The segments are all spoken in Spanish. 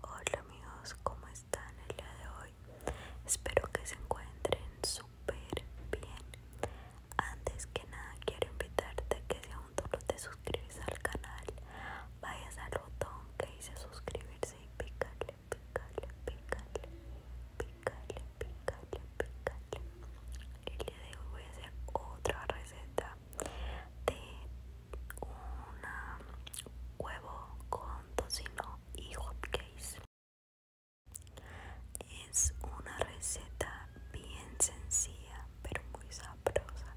Hola amigos, ¿cómo están el día de hoy? Espero que se encuentren súper bien. Antes que nada quiero invitarte que si un no te suscribes al canal, vayas al botón que dice suscribirse y picarle, picarle, picarle, picarle, picarle, picarle. El día de hoy voy a hacer otra receta de un huevo con tocino y hot Es una receta bien sencilla pero muy sabrosa.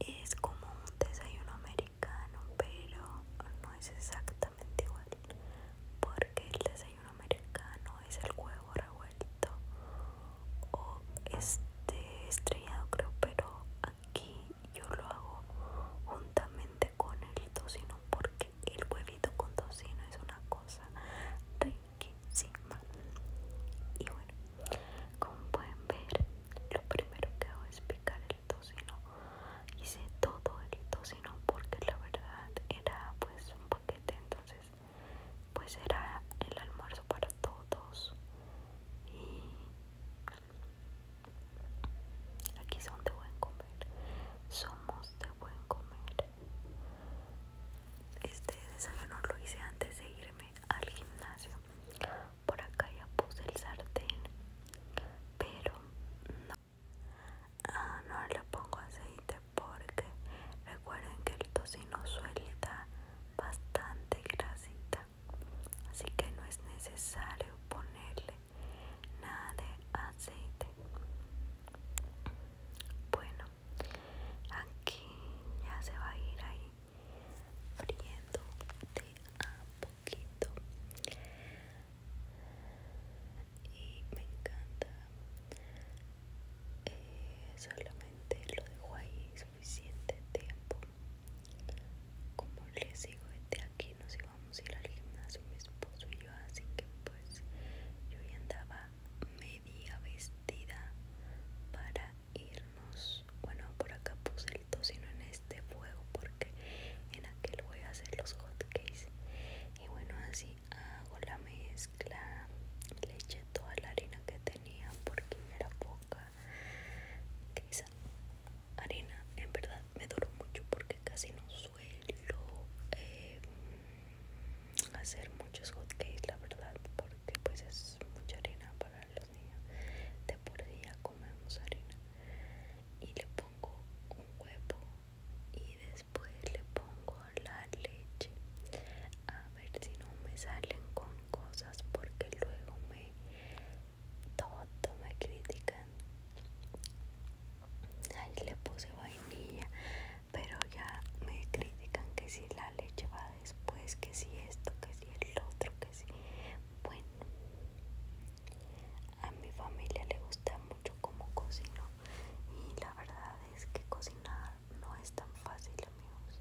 Es como un desayuno americano pero no es exactamente igual porque el desayuno americano es el huevo revuelto o este estrellado creo pero aquí yo lo hago juntamente con el tocino porque el huevito con tocino es una cosa riquísima y bueno como pueden ver lo primero que hago es picar el tocino hice todo el tocino porque la verdad era pues un paquete entonces pues era el almuerzo para todos y aquí son de buen comer somos de buen comer este desayuno lo hice antes de irme al gimnasio por acá ya puse el sartén pero no, ah, no le pongo aceite porque recuerden que el tocino suelta bastante grasita así que no es necesario ponerle nada de aceite bueno aquí ya se va a ir ahí friendo de a poquito y me encanta eh, solamente lo dejo ahí suficiente tiempo como les digo desde aquí nos íbamos a ir al gimnasio mi esposo y yo así que pues yo ya andaba media vestida para irnos bueno por acá puse sino en este fuego porque en aquel voy a hacer los hot y bueno así hago la mezcla le eché toda la harina que tenía porque era poca harina en verdad me duró mucho porque casi no suelo em, hacer muchos hotcakes la verdad porque pues es mucha harina para los niños de por día comemos harina y le pongo un huevo y después le pongo la leche a ver si no me salen con cosas porque luego me todo me critican ahí le puse vainilla pero ya me critican que si la leche va después que si esto que si el otro que si bueno a mi familia le gusta mucho como cocino y la verdad es que cocinar no es tan fácil amigos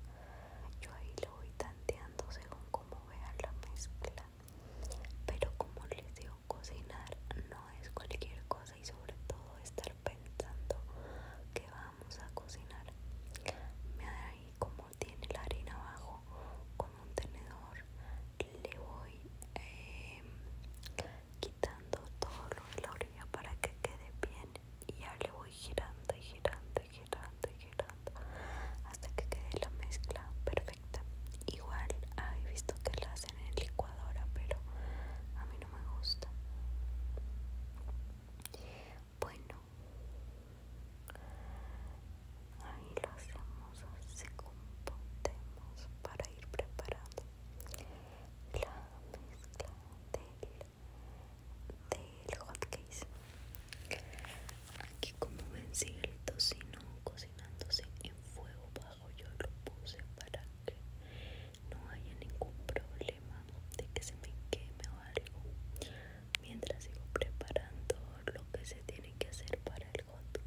yo ahí lo voy tanteando según cómo vean la mezcla pero como les digo cocinar no es cualquier cosa y sobre todo estar pensando que vamos a cocinar mira ahí como tiene la harina abajo con un tenedor le voy eh, quitando todo lo de la orilla para que quede bien y ya le voy girando y girando y girando y girando hasta que quede la mezcla perfecta igual he visto que la hacen en licuadora pero a mí no me gusta bueno ahí lo hacemos así como para ir preparando la mezcla del, del aquí como vencido sigue el tocino cocinándose en fuego bajo yo lo puse para que no haya ningún problema de que se me queme o algo mientras sigo preparando lo que se tiene que hacer para el hot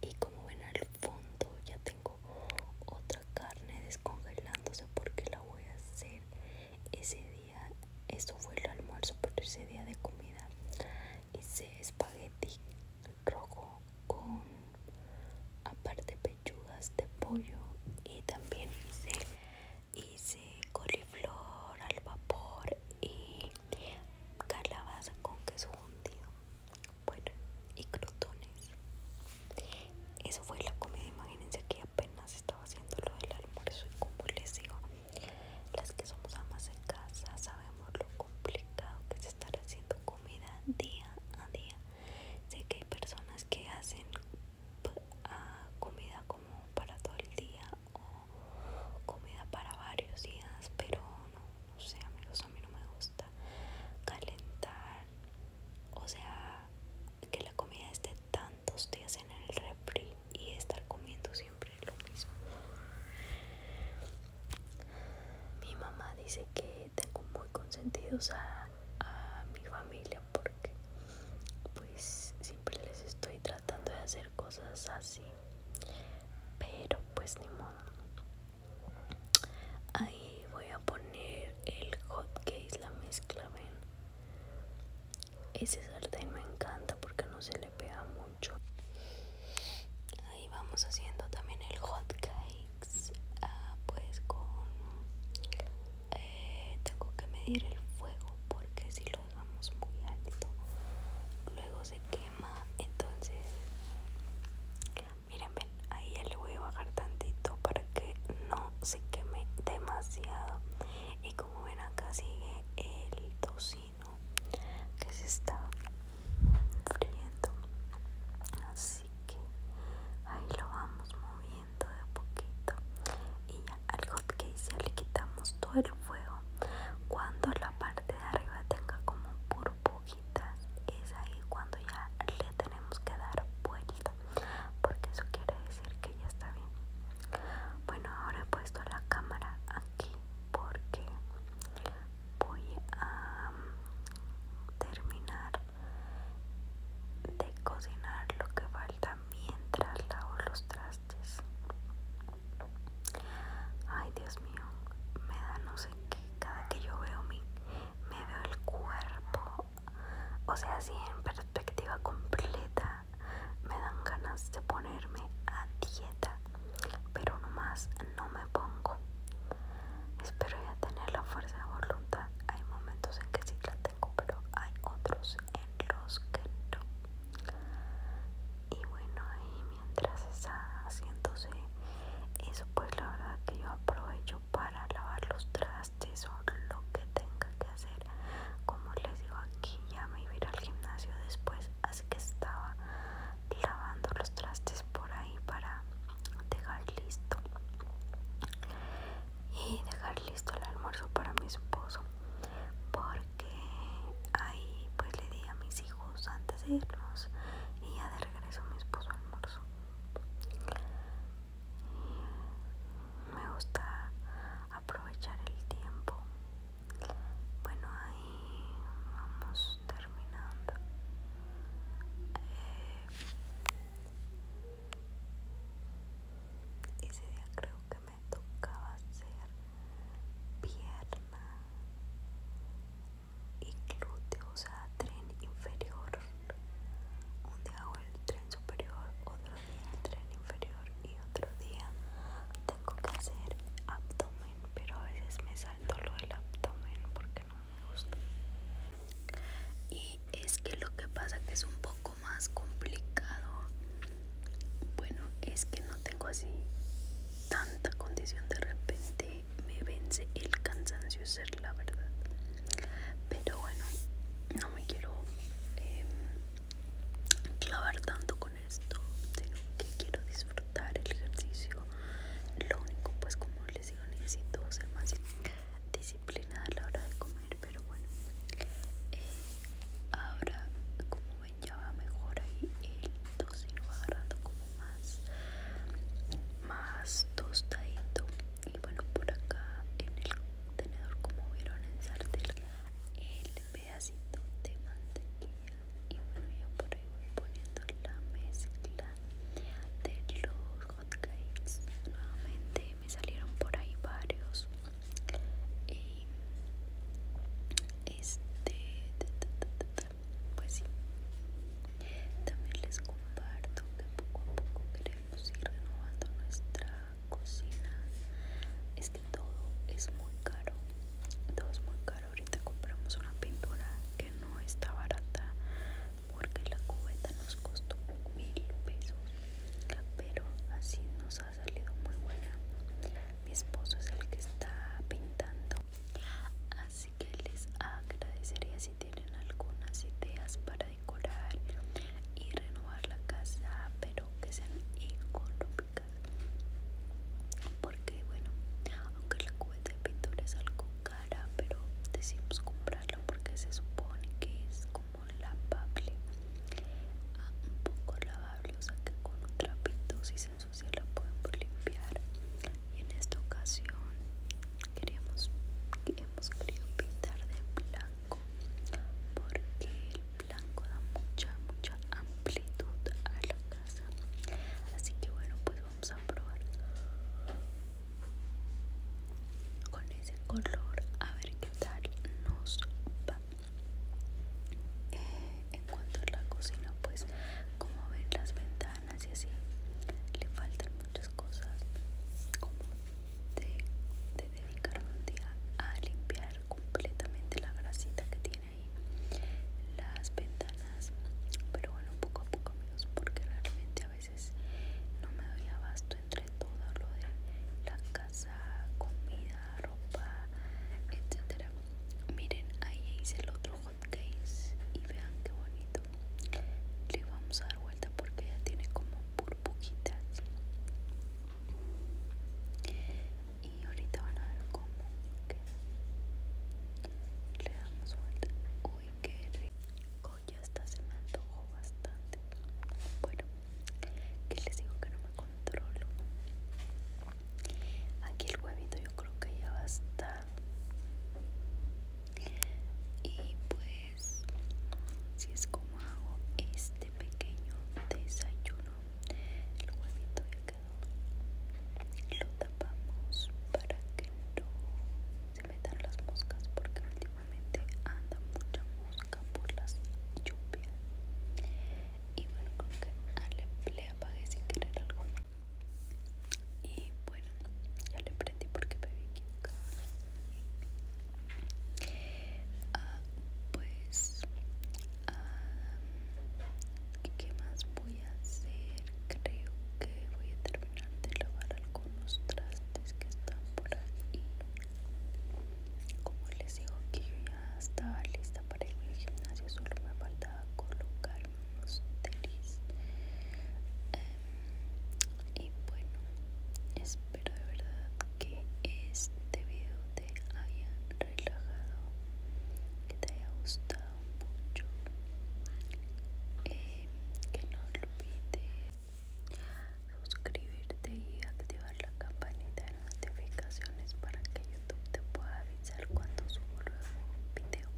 y como ven al fondo ya tengo otra carne descongelándose porque la voy a hacer ese día esto fue el almuerzo por ese día de comida hice espagueti rojo con aparte pechugas de pollo y también hice hice coliflor al vapor y calabaza con queso hundido bueno y crotones eso fue la comida imagínense que apenas estaba haciendo lo del almuerzo y como les digo las que somos amas en casa sabemos lo complicado que es estar haciendo comida día a día sé que hay personas que hacen ah, comida como para todo el día comida para varios días, pero no, no sé amigos, a mí no me gusta calentar, o sea, que la comida esté tantos días en el refri y estar comiendo siempre lo mismo. Mi mamá dice que tengo muy consentidos a, a mi familia porque pues siempre les estoy tratando de hacer cosas así pero pues ni modo ahí voy a poner el hot la mezcla ven ese sartén me encanta porque no se le pega mucho ahí vamos haciendo también el hot ah, pues con eh, tengo que medir el fuego porque si lo lo muy alto luego se quema entonces miren ven ahí ya le voy a bajar tantito para que no se queme demasiado y como ven acá sigue el tocino que se está friendo así que ahí lo vamos moviendo de poquito y al hot case le quitamos todo el fuego cuando la parte de arriba tenga como burbujitas es ahí cuando ya le tenemos que dar vuelta porque eso quiere decir que ya está bien bueno ahora he puesto la cámara aquí porque voy a mm, terminar de cocinar lo que falta mientras lavo los trastes. Ay, Dios mío, me da no sé qué. Cada que yo veo mi, me veo el cuerpo, o sea, si en perspectiva completa, me dan ganas de ponerme a dieta, pero no más no me pongo. Espero ya tener la fuerza de voluntad. Hay momentos en que sí la pero hay otros en los que no. Y bueno, y mientras está haciéndose eso, pues la verdad que yo aprovecho para lavar los trastes o lo que tenga que hacer. Como les digo, aquí ya me iba a ir al gimnasio después, así que estaba lavando los trastes por ahí para dejar listo y dejar listo el almuerzo para mi esposo porque ahí pues le di a mis hijos antes de irnos y ya de regreso mi esposo almuerzo me gusta aprovechar el tiempo bueno ahí vamos terminando eh, ese día creo que me tocaba hacer pierna y glúteo, o sea, tren inferior. Un día hago el tren superior, otro día el tren inferior y otro día tengo que hacer abdomen, pero a veces me salto lo del abdomen porque no me gusta. Y es que lo que pasa que es un poco más complicado bueno es que no tengo así tanta condición de repente me vence el cansancio ser la verdad pero bueno no me quiero em, clavar tanto con esto sino que quiero disfrutar el ejercicio lo único pues como les digo necesito ser más plenada a la hora de comer, pero bueno, eh, ahora como ven ya va mejor ahí el tocino va agarrando como más, más tostadito y bueno por acá en el contenedor como vieron en sartel el pedacito de mantequilla y bueno yo por ahí voy poniendo la mezcla de los nuevamente me salieron por ahí varios y este pues sí también les comparto que poco a poco queremos ir renovando nuestra cocina es que todo es muy caro todo es muy caro ahorita compramos una pintura que no está barata porque la cubeta nos costó mil pesos pero así nos ha salido muy buena mi esposo es el que está pintando así que les agradecería si tienen algunas ideas para decorar y renovar la casa pero que sean económicas porque bueno aunque la cubeta de pintura es algo pero decimos comprarlo porque se supone que es como lavable ah, un poco lavable o sea que con un trapito si se ensucia la podemos limpiar y en esta ocasión queríamos hemos querido pintar de blanco porque el blanco da mucha mucha amplitud a la casa así que bueno pues vamos a probar con ese color a ver qué tal nos va eh, en cuanto a la cocina pues como ven las ventanas y así le faltan muchas cosas como de, de dedicar un día a limpiar completamente la grasita que tiene ahí las ventanas pero bueno poco a poco amigos porque realmente a veces no me doy abasto entre todo lo de la casa, comida, ropa, etc Miren, ahí hice el otro hot case y vean qué bonito. Le vamos a dar vuelta porque ya tiene como burbujitas. Y ahorita van a ver cómo queda. Le damos vuelta que rico. Ya está se me antojó bastante. Bueno, que les digo que no me controlo. Aquí el huevito yo creo que ya va a estar. Y pues, si es como hago este pequeño desayuno, el huevito lo tapamos para que no se metan las moscas porque últimamente anda mucha mosca por las lluvias y bueno creo que Ale le, apagué sin querer algo y bueno ya le prendí porque me había ah, pues ah, ¿Qué más voy a hacer? Creo que voy a terminar de lavar algunos trastes que están por ahí. Como les digo que ya estaba lista para irme al gimnasio, solo me faltaba colocar unos tenis. Em, y bueno, espero de verdad que este video te hayan relajado que te haya gustado mucho eh, que no olvides suscribirte y activar la campanita de notificaciones para que youtube te pueda avisar cuando subo un video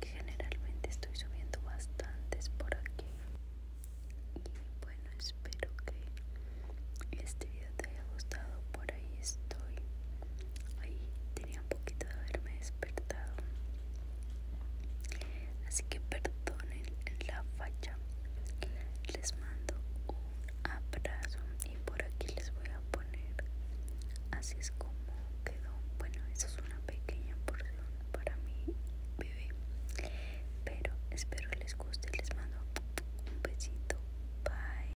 que generalmente estoy subiendo bastantes por aquí y bueno espero que este video te haya gustado por ahí estoy. Ahí tenía un poquito de haberme despertado. Así que perdonen la falla. Les mando un abrazo y por aquí les voy a poner. Así es como quedó. Bueno, eso es una pequeña porción para mi bebé. Pero espero les guste. Les mando un besito. Bye.